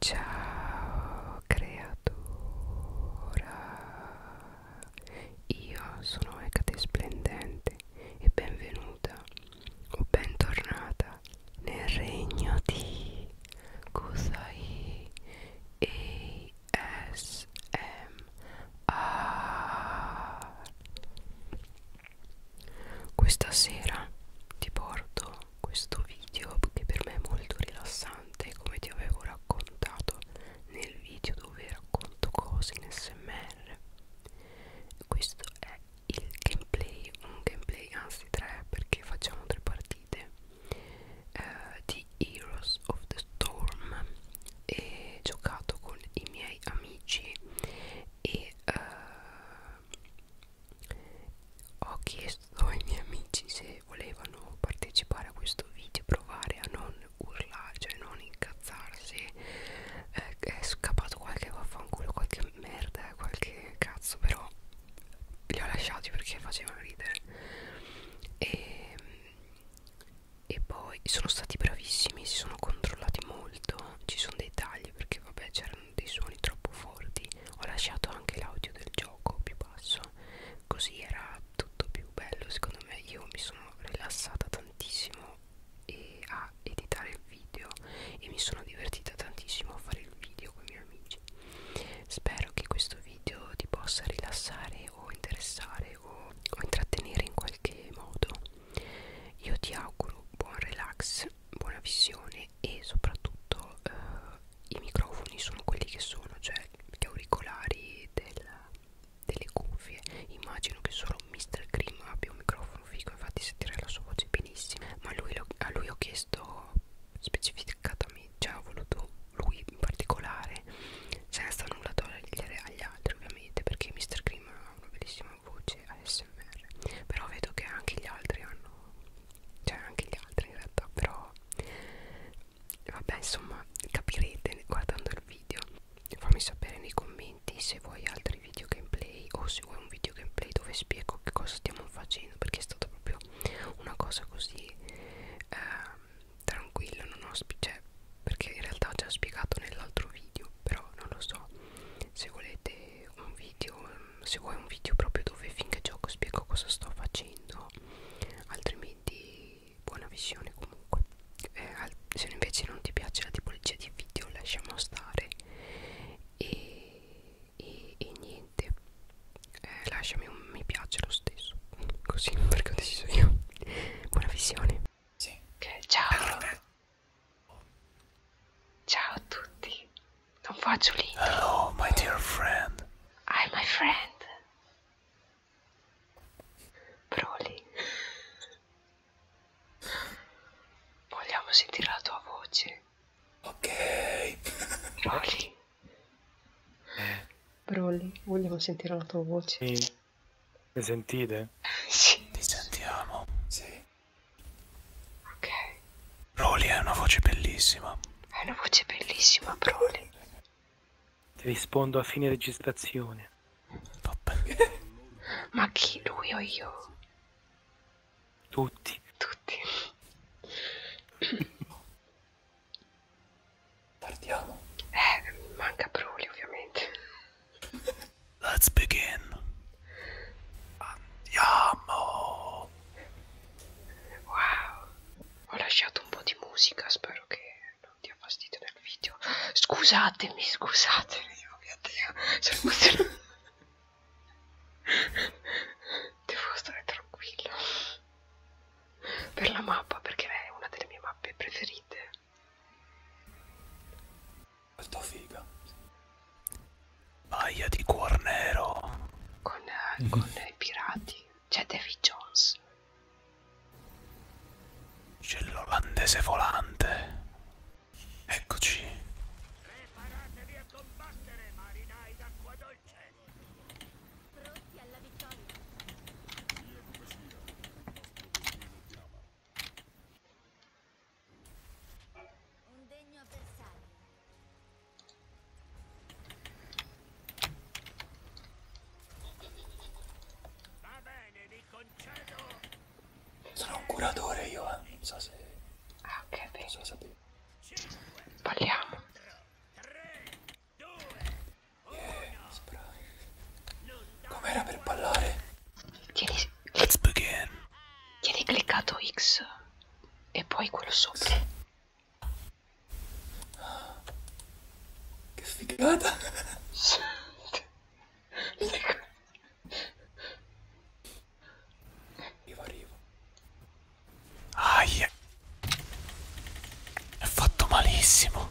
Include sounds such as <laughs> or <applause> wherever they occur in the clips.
Ciao creatura, io sono Ecate Splendente e benvenuta o bentornata nel regno di Kusai ASMR. Questa sera ti porto questo video che per me è molto rilassante come ti avevo raccontato nel video dove racconto cose in smr questo è il gameplay un gameplay anzi tre perché facciamo tre partite eh, di Heroes of the Storm e giocato con i miei amici e eh, ho chiesto ai miei amici se volevano partecipare a questo video provare a non urlare cioè non incazzarsi eh, è scappato qualche vaffanculo qualche merda qualche cazzo però li ho lasciati perché facevano ridere e, e poi sono stati bravissimi si sono controllati molto ci sono dei tagli perché vabbè c'erano dei suoni troppo forti ho lasciato anche l'audio del gioco più basso così era tutto più bello secondo me io mi sono rilassata tantissimo e a editare il video e mi sono divertita tantissimo a fare il video con i miei amici spero che questo video ti possa rilassare o interessare o, o intrattenere in qualche modo io ti auguro buon relax buona visione e soprattutto eh, i microfoni sono quelli che sono, cioè gli auricolari del, delle cuffie. Immagino che solo Mr. Grimm abbia un microfono figo, infatti sentirei la sua voce benissimo. Ma lui lo, a lui ho chiesto specificatamente, cioè ho voluto lui in particolare, senza nulla togliere agli altri ovviamente, perché Mr. Grimm ha una bellissima voce ASMR, però vedo che anche gli altri hanno cioè anche gli altri in realtà però vabbè insomma capirete guardando il video fammi sapere nei commenti se vuoi altri video gameplay o se vuoi un video gameplay dove spiego che cosa stiamo facendo perché è stata proprio una cosa così eh, tranquilla non ho cioè, perché in realtà ho già spiegato nell'altro video però non lo so se volete un video se vuoi un video proprio dove finché gioco spiego cosa sto facendo altrimenti buona visione comunque eh, se invece non ti piace la tipologia di video lasciamo stare e, e, e niente eh, lasciami un mi piace lo stesso <laughs> così perché ho deciso io buona visione sì. okay, ciao allora. ciao a tutti non faccio l'incubo. Hello, my dear friend. Hi, my friend. Broly. Vogliamo sentire la tua voce. Ok. Broly. Eh. Broly, vogliamo sentire la tua voce. Sì. Mi sentite? sì. Ti sentiamo. Sì. Ok. Broly è una voce bellissima. È una voce bellissima, Broly. Ti rispondo a fine registrazione. Vabbè. <laughs> Ma chi lui o io? Tutti. Tutti. <coughs> Partiamo. Eh, manca Broly ovviamente. Let's begin. Andiamo. Wow, ho lasciato un po' di musica, spero che non dia fastidio nel video. Scusatemi, scusatemi, oh mio Dio, sono emozionato. Devo stare tranquillo per la mappa, perché è una delle mie mappe preferite. Molto figa. Maglia di cuor nero. Con, eh, con mhm. i pirati. C'è Davy Jones. C'è l'olandese volante. Eccoci. Preparatevi a combattere, marinai d'acqua dolce. Pronti alla vittoria. Un degno avversario. Sono un curatore io, eh. non so se... Ah, ok, bene. So sapere. Vogliamo. Yeah, Com'era per ballare? Tieni... Let's begin. Tieni cliccato X e poi quello sopra. Che sfigata! arrivo, arrivo. Aia! Ah, yeah. È fatto malissimo.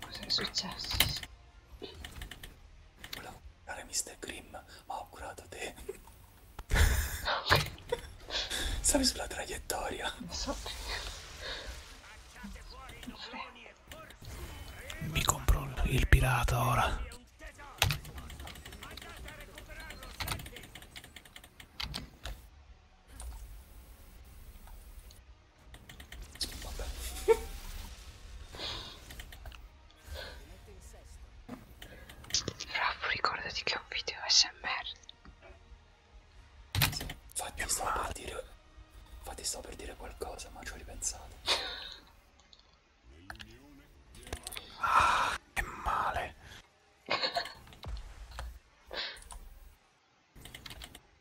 Cosa è successo? Volevo comprare Mr. Grimm, ma ho curato te. <laughs> Stavi sulla traiettoria. Lo so. Mi compro il pirata ora. Vabbè. Raff, ricordati che è un video smr. Sì, infatti, sto per, dire, infatti sto per dire qualcosa, ma ci ho ripensato. ah, che male. <laughs>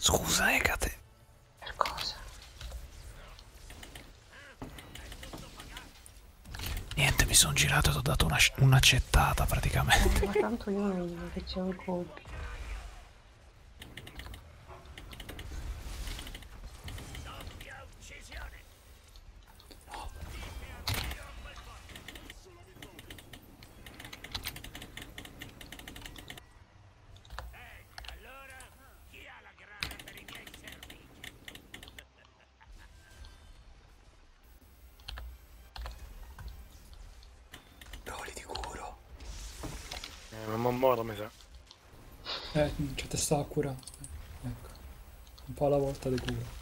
Scusa, Ecate. Eh, per cosa? Niente, mi sono girato e ti ho dato una, un'accettata praticamente. Ma tanto io non che c'è un colpo. No. Eh, allora chi ha la grana per i miei servizi? Broli di curo. Eh, non muoio mi sa. Eh, c'è testa a cura. Ecco. Un po' alla volta di cura.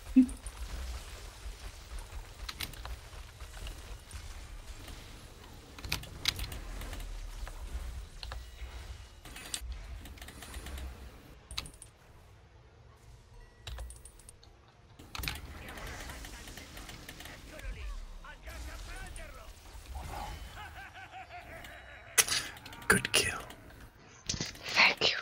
Eccolo lì! Alcanza a prenderlo! Good kill. Thank you.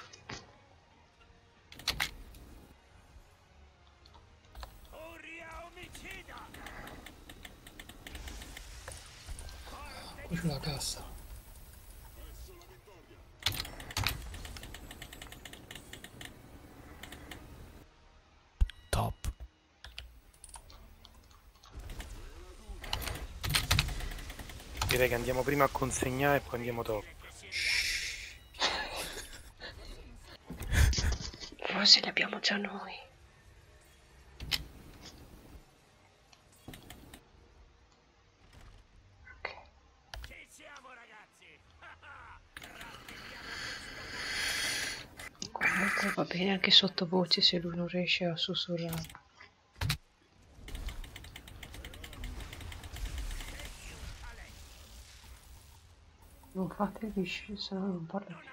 Sulla cassa. Top. Direi che andiamo prima a consegnare e poi andiamo dopo. Forse li abbiamo già noi. Okay. Ci siamo ragazzi! <laughs> Comunque va bene anche sottovoce se lui non riesce a sussurrare. Non fate visci, se no non parlo più.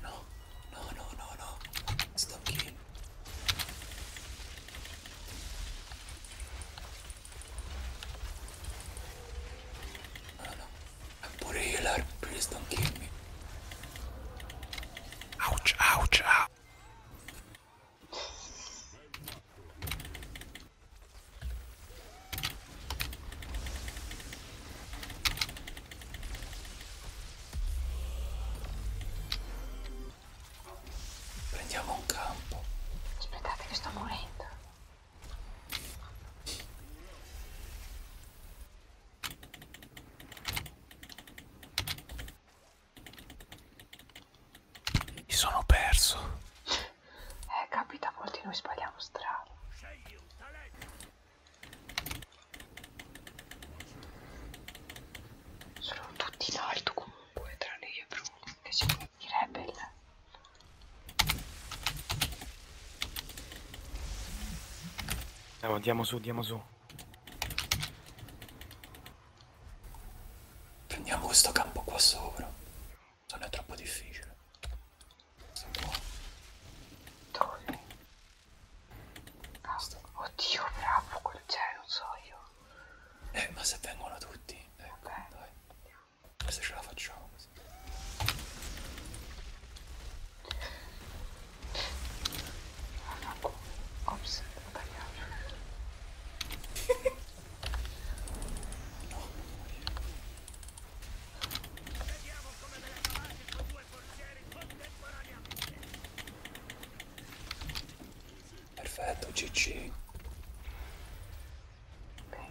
No, no, no, no, no, no. Stop game. No, no. pure healer, please don't kill me. Ouch, ouch, ouch. Prendiamo un campo. Aspettate che sto morendo. Mi sono perso. Eh, capita, molti noi sbagliamo strada. Sono tutti in alto comunque, tranne io e Bruno, che siamo i rebel. Eh, andiamo, andiamo su, andiamo su. Prendiamo questo campo qua sopra. Non è troppo difficile. Dove? Ah, oddio, bravo, quel cioè, non so io. Eh, ma se vengono tutti, ecco, okay. dai. Se ce la facciamo così. Ops, ho tagliato. Vediamo come me ne cavate con due portieri contemporaneamente. Perfetto, GG. Beh.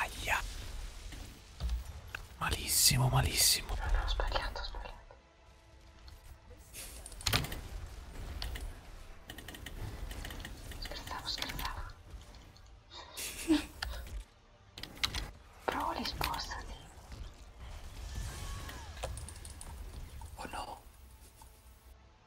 Aia. Malissimo, malissimo. No, no, sbagliato, sbagliato. Scherzavo, scherzavo. Proli, spostati. Oh no.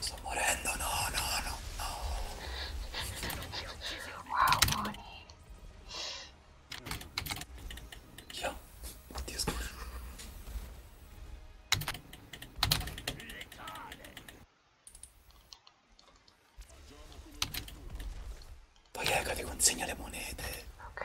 Sto morendo, no, no, no, no. Wow, Moni. Io? Oddio, scusa. Poi ecco ti consegno le monete. Ok.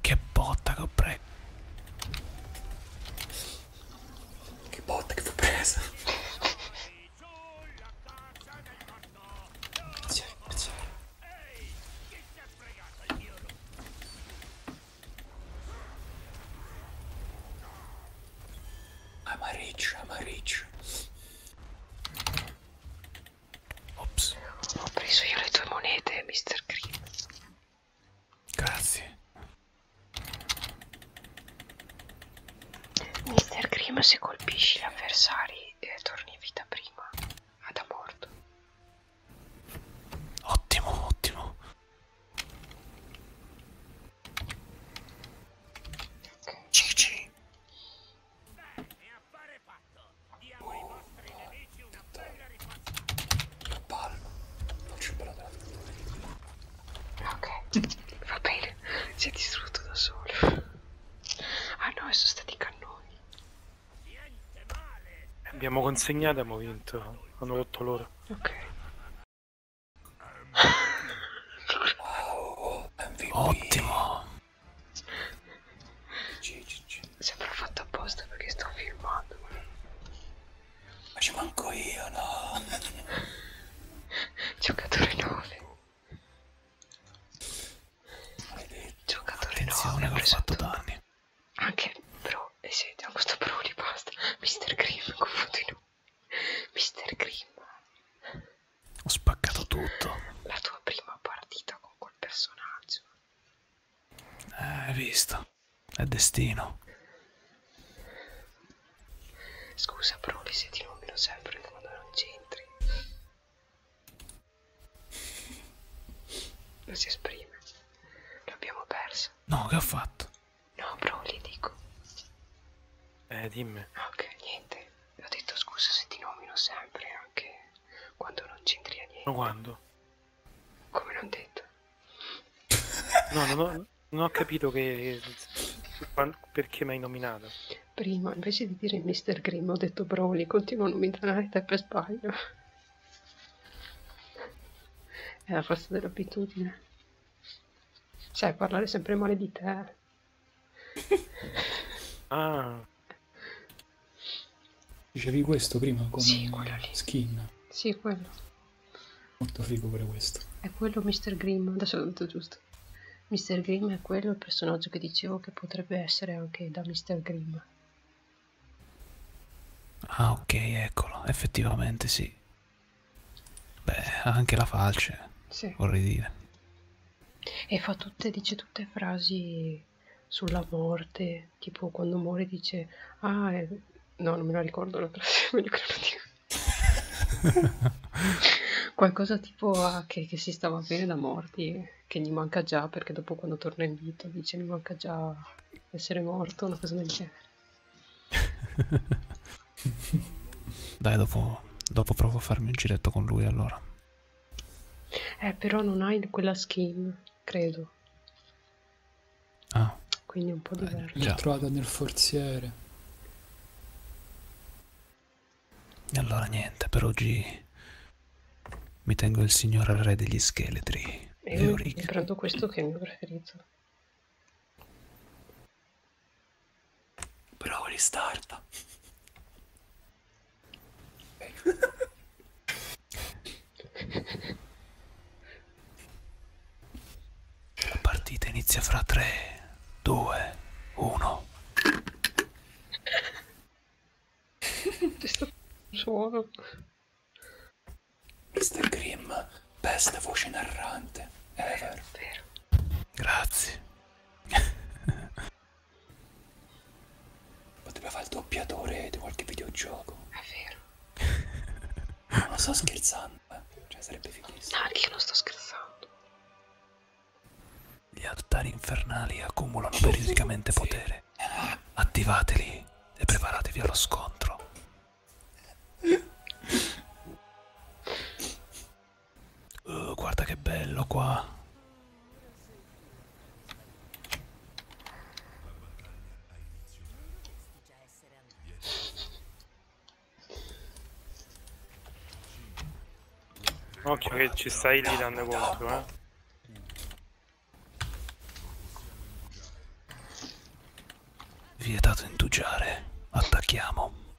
Che botta che ho preso. Che botta che fu presa. Grazie, grazie. I'm a rich, I'm a rich. Ops. Ho preso io le tue monete, Mr. Green. Grazie. Mr. Green, se colpisci gli avversari, eh, torni in vita prima. Ad a morto. Ottimo, ottimo. Okay. Cici. La palla. Non ci ho imparato la Ok, va bene. Si è distrutto da solo. Ah no, sono stati cannoni. Abbiamo consegnato e abbiamo vinto. Hanno rotto loro. Ok. Oh, Ottimo. Sembra fatto apposta perché sto filmando. Ma ci manco io, no? Giocatore 9. Giocatore 9. Ho preso fatto danni. Anche però, e eh siete a questo pro di basta. <laughs> Mr. Grimm, confondino. Mr. Grimm. Ho spaccato tutto. La tua prima partita con quel personaggio. Eh, hai visto? È destino. Scusa, però se ti nomino sempre quando non c'entri. Non si esprime. L'abbiamo persa. No, che ho fatto? No, però gli dico. Eh, dimmi. Ok, niente. E ho detto scusa se ti nomino sempre, anche quando non c'entri a niente. Ma quando? Come non detto. <laughs> No, non ho, non ho capito che, perché mi hai nominato. Prima, invece di dire Mr. Grimm, ho detto Broly, continuo a nominare te per sbaglio. È la forza dell'abitudine. Cioè, parlare sempre male di te ah. Dicevi questo prima come sì, quello lì. skin? Sì, quello. Molto figo pure questo. È quello Mr. Grimm, adesso ho detto giusto. Mr. Grimm è quello il personaggio che dicevo che potrebbe essere anche da Mr. Grimm. Ah, ok, eccolo, effettivamente sì. Beh, anche la falce, sì. vorrei dire e fa tutte, dice tutte frasi sulla morte, tipo quando muore dice, ah, è... no, non me la ricordo la frase, meglio che non la dico. <laughs> Qualcosa tipo ah, che, che, si stava bene da morti, che gli manca già, perché dopo quando torna in vita dice mi manca già essere morto, una cosa del genere. <laughs> Dai, dopo, dopo provo a farmi un giretto con lui allora. Eh, però non hai quella skin, credo. Ah. Quindi è un po' eh, diverso. Eh, L'ho trovata nel forziere. E allora niente, per oggi mi tengo il signor re degli scheletri. E io ho comprato questo che è il mio preferito. Bravo ristarta. La partita inizia fra 3, 2, 1. Suono. Mr. Grimm, best voce narrante ever. Grazie. Potrebbe fare il doppiatore di qualche videogioco. È vero. non sto scherzando, eh. Cioè sarebbe fighissimo. No, io non sto scherzando. Gli altari infernali accumulano periodicamente potere. Attivateli e preparatevi allo scontro. Uh, guarda che bello qua. Occhio che ci stai lì dando contro, eh. Vietato indugiare. Attacchiamo.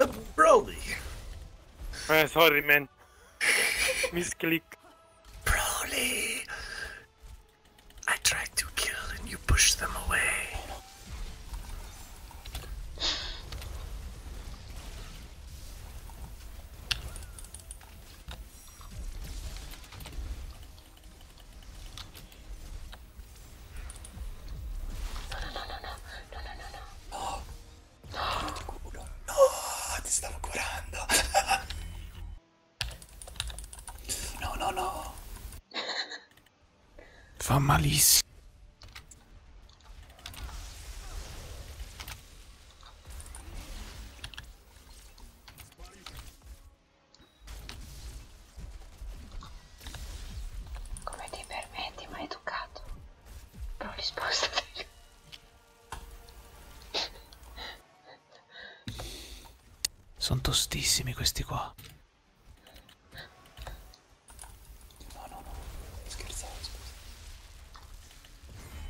Uh, Broly. Uh, sorry, man. <laughs> Misclick. Broly. I tried to kill and you pushed them away. No, no, no, no, no, no, no, no. No, no. Culo. No, ti stavo curando. No, no, no. Fa malissimo. Come ti permetti, ma educato? Proli spostati. Sono tostissimi questi qua. No, no, no, scherzavo, scusa.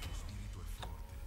Lo spirito è forte.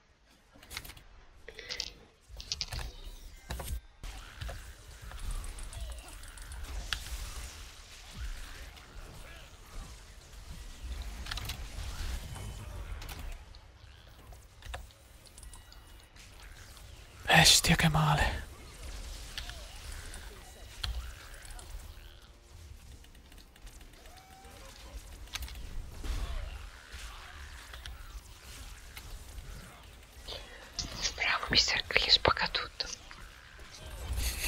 Bestia che male. Bravo mister Green spacca tutto.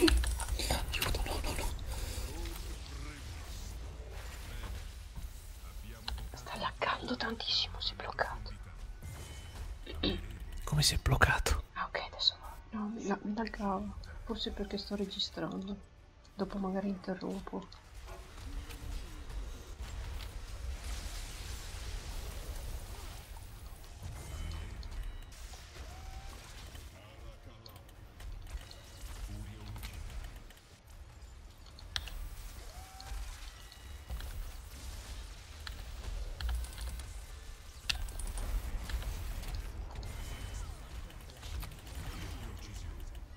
Aiuto, no, no, no. Sta laggando tantissimo, si è bloccato. Come si è bloccato? Ah ok, adesso no, no mi laggavo. Forse perché sto registrando dopo magari interrompo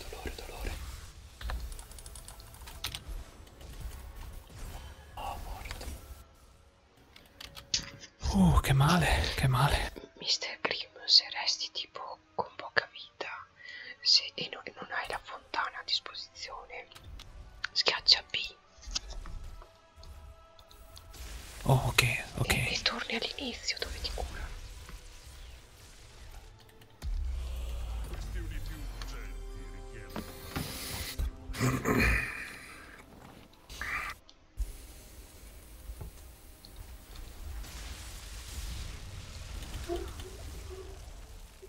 Dolore, dolore. Oh, morto. Uh, che male, che male. Mister Grimm, se resti tipo con poca vita se, e non, non hai la forza lontane a disposizione. Schiaccia B. Oh, ok, ok. E, e torni all'inizio dove ti cura.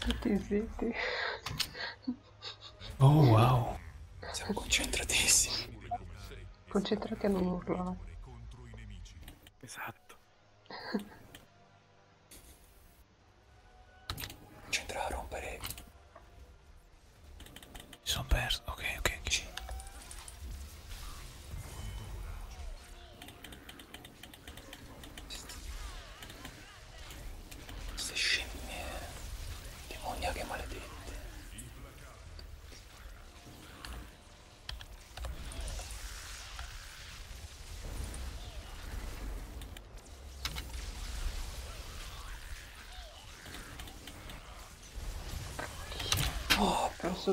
Zitti, zitti. Oh wow. Siamo concentratissimi. Concentrati a non urlare. Esatto. C'entra a rompere. Mi sono perso. Ok, ok, ok. Queste scimmie demoniache maledette. Oh, posso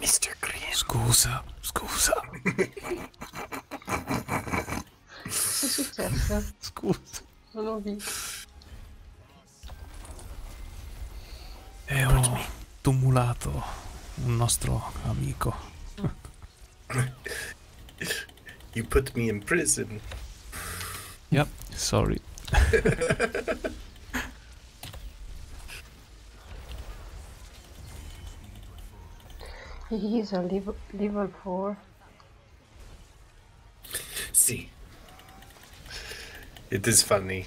Mr. Green. Scusa, scusa. che è successo? Scusa. Non ho visto. E ho tumulato un nostro amico. Ah. <laughs> You put me in prison. Yep, sorry. <laughs> He's a level, 4. See. It is funny.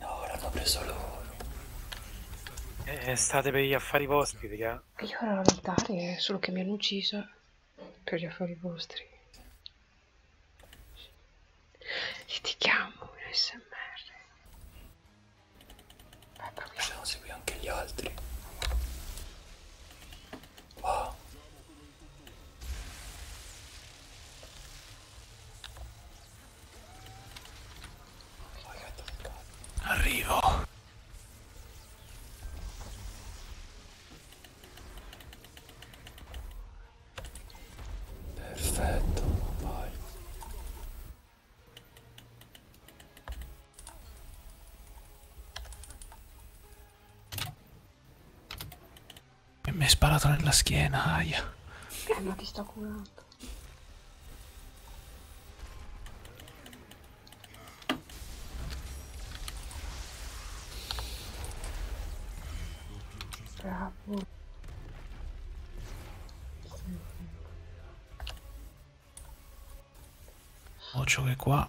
No, l'hanno preso loro. Eh, eh, state per gli affari vostri, raga. Io ero a notare, eh, solo che mi hanno ucciso per gli affari vostri. E ti chiamo un smr. Vabbè, proviamo. Se no, segui anche gli altri. Wow. Arrivo. Perfetto, vai. E mi è sparato nella schiena, aia. Eh, ma ti sto curando. Bravo. Occhio che qua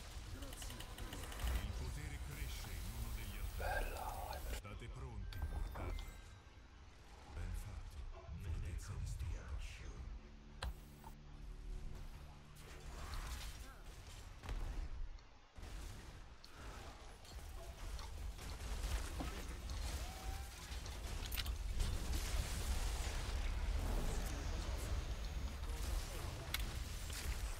Bella, State pronti, mortati. Ben fatto. Vedete come stiascio.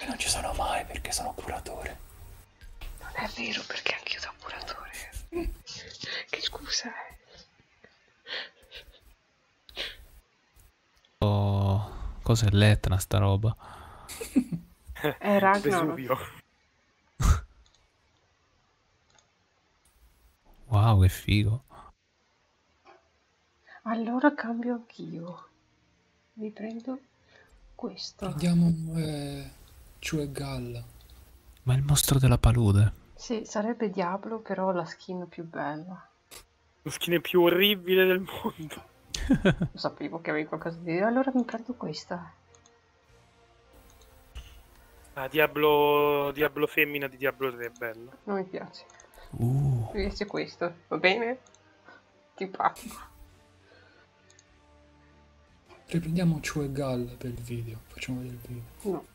E non ci sono mai perché sono curatore. Non è vero perché anch'io sono curatore. che scusa è? Oh, cos'è l'Etna sta roba? è Ragnarok. wow, che figo. Allora cambio anch'io mi prendo questo. Prendiamo eh, Chuegal. Ma il mostro della palude. Sì, sarebbe Diablo, però la skin più bella. Lo skin più orribile del mondo. <laughs> Lo sapevo che avevi qualcosa di... Allora mi prendo questa. Ah, Diablo, Diablo femmina di Diablo 3 è bello. Non mi piace. Uh. Mi piace questo, va bene? Ti pago. Riprendiamo Chu e Gal per il video, facciamo vedere il video. No.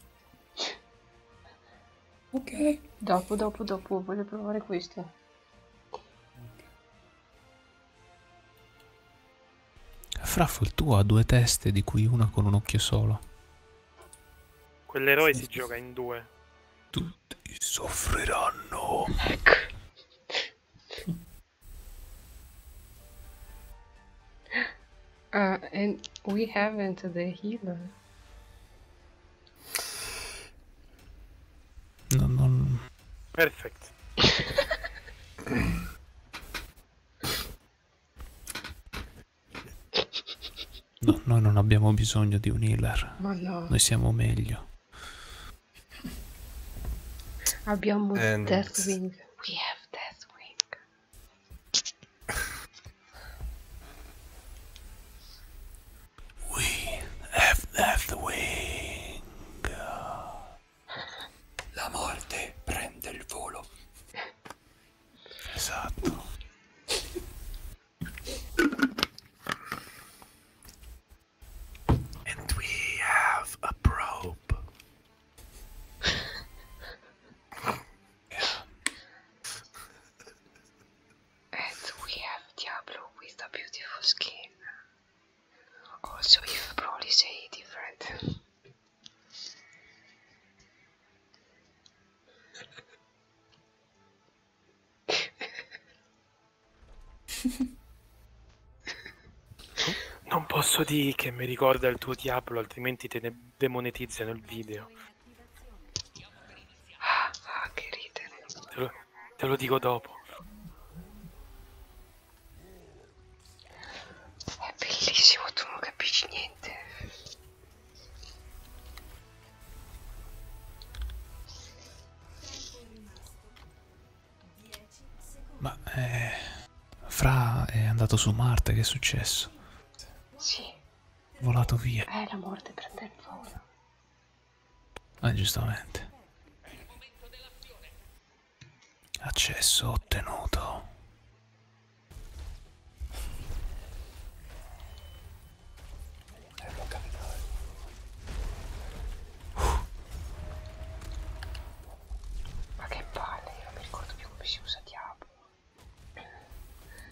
Ok. Dopo, dopo, dopo, voglio provare questo. Okay. Fraffo, il tuo ha due teste, di cui una con un occhio solo. Quell'eroe sì. si gioca in due. Tutti soffriranno. Ecco. <laughs> Uh, and we haven't the healer. No, no, no. Perfect. no, noi non abbiamo bisogno di un healer. Ma no. Noi siamo meglio. Abbiamo And... Deathwing. We have Deathwing. We have Deathwing. La morte prende il volo. Esatto. And we have a probe. <laughs> And we have Diablo with a beautiful skin. Also, you probably say different. <laughs> <laughs> non posso dire che mi ricorda il tuo diavolo, altrimenti te ne demonetizzano il video. Ah, ah che ridere. Te lo, te lo dico dopo. È bellissimo, tu non capisci niente. Ma eh, Fra è andato su Marte, che è successo? Sì. Volato via. Eh, la morte prende il volo. Eh, giustamente. Accesso ottenuto. They're not gonna know. Uh. Ma che palle, io non mi ricordo più come si usa diavolo.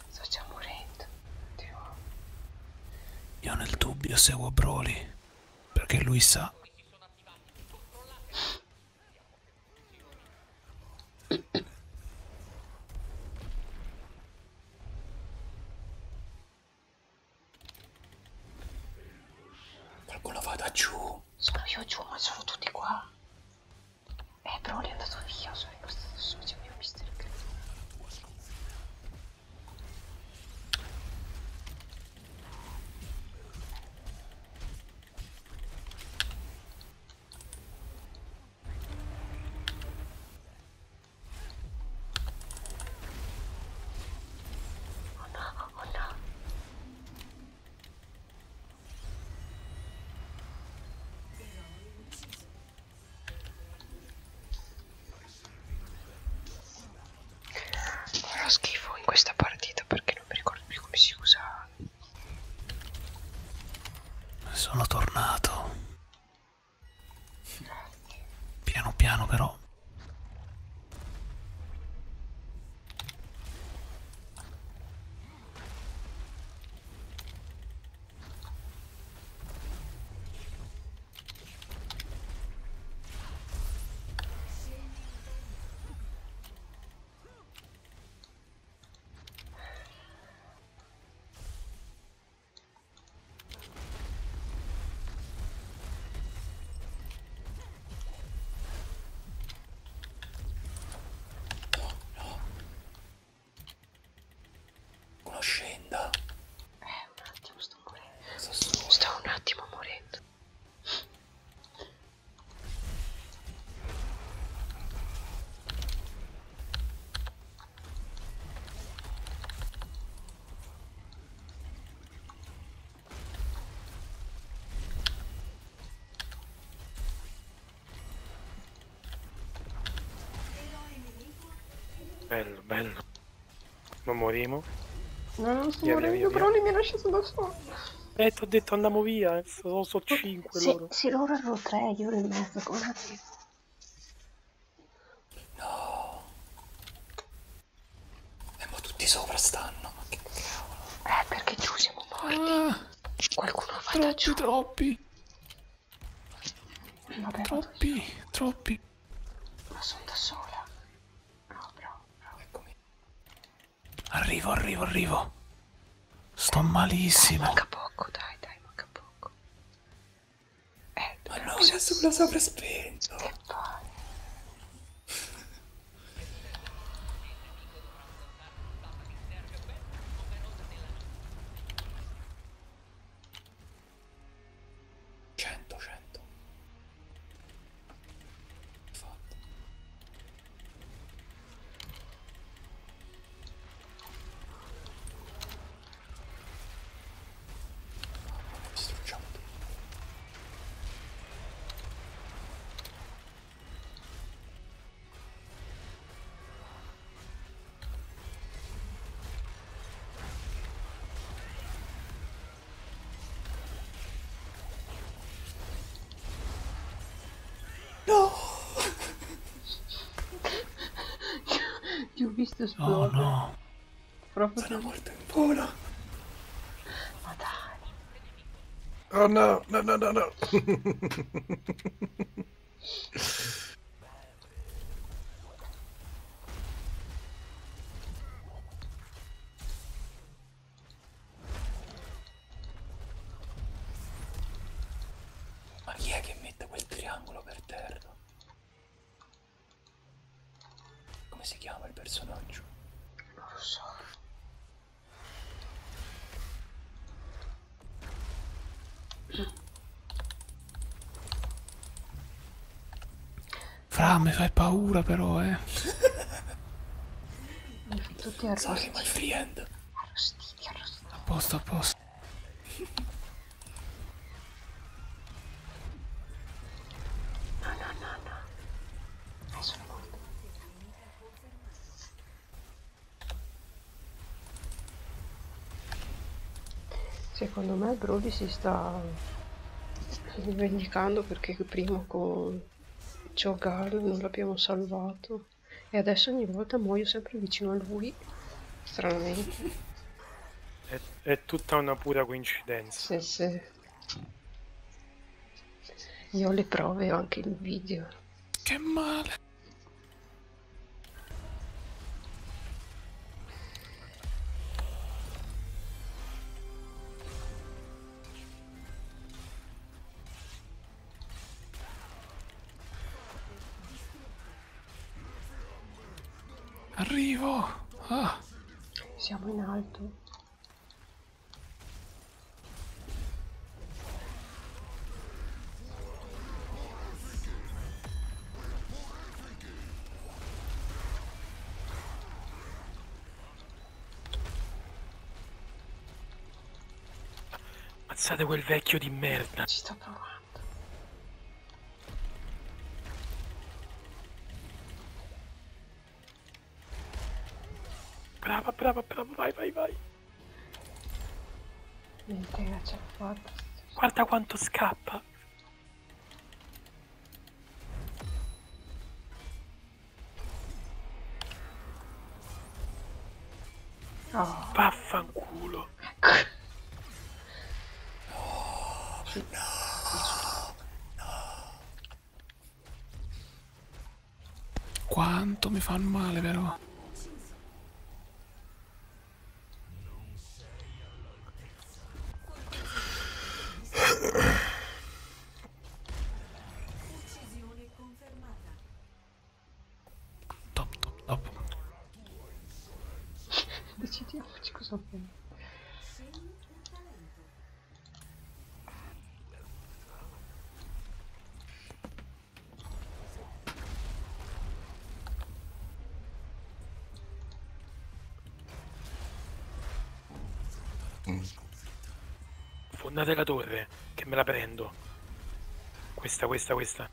Sto già morendo. Dio. Io nel dubbio seguo Broly, perché lui sa. Qualcuno vada giù. Sono io giù, ma sono tutti qua. Eh, però lui è andato via, sono rimasto solo, c'è mio mister Oh no, oh no. Farò schifo in questa partita perché non mi ricordo più come si usa. Sono tornato. Piano piano però. No, no. Uno scenda. Eh, un attimo sto morendo. Sto, sto un attimo morendo. Bello, bello. Non morimo. No, non sto via, morendo, via, via, però li mi lascia da solo. Eh, ti ho detto andiamo via, eh. sono so 5 sì, loro. Sì, loro erano 3, io ero in mezzo, come <laughs> No. E eh, ma tutti sopra stanno. Ma che cavolo. Eh, perché giù siamo morti. Ah, Qualcuno va da giù. Troppi. Vabbè, troppi, troppi. Ma sono da sola. No, bro, bro. Eccomi. Arrivo, arrivo, arrivo. Sto malissimo. Dai, manca poco, dai, dai, manca poco. Eh, Ma no, adesso me lo sopra spento. Che fai? Cento, cento. Fatto. Distruggiamo tutto. No! <laughs> Ti ho visto esplodere. Oh no! Proprio Sono morto in volo. Ma dai. Oh no, no, no, no, no. Ma chi è che mette quel triangolo per terra? Come si chiama il personaggio? Non lo so. Fra, mi fai paura però, eh. Mi fai tutti arrostiti. Sorry, my friend. Arrostiti, arrostiti. A posto, a posto. No, no, no, no. Hai sono morto. Secondo me Brody si sta rivendicando perché prima con Jogar non l'abbiamo salvato e adesso ogni volta muoio sempre vicino a lui stranamente e, è tutta una pura coincidenza. Sì, sì. Io ho le prove, ho anche il video. Che male! Arrivo! Ah! Siamo in alto. Ammazzate quel vecchio di merda. Ci sto provando. Brava, brava, brava, vai, vai, vai. Niente, ragazzi, fatto. Guarda quanto scappa. Oh. Vaffanculo. <laughs> No, no, no. Quanto mi fanno male però. Top, top, top. Decidiamoci cosa fare. Fondate la torre, che me la prendo. Questa, questa, questa.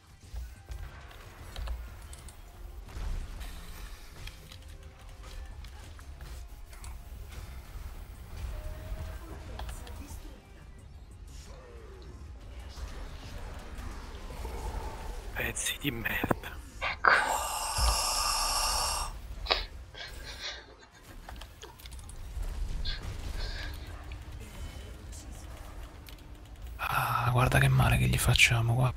Pezzi di merda. Ecco. Ah, guarda che male che gli facciamo qua.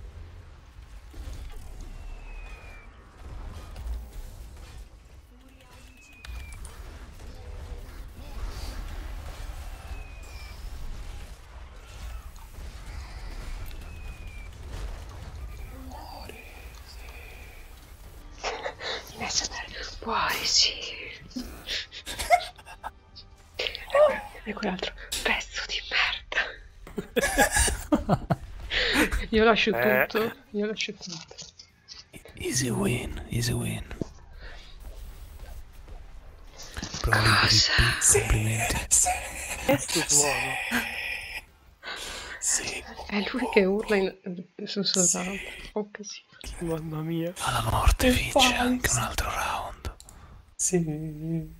Muori, sì. Lascia <laughs> andare. Muori, sì. e quell'altro pezzo di merda io lascio eh. tutto, io lascio tutto. Easy win, easy win. Cosa? Complimenti. Sì, sì, sì, sì. È lui che urla in... sussurrando. Sì. Oh, che sì. Mamma mia. Alla morte vince anche un altro round. Sì.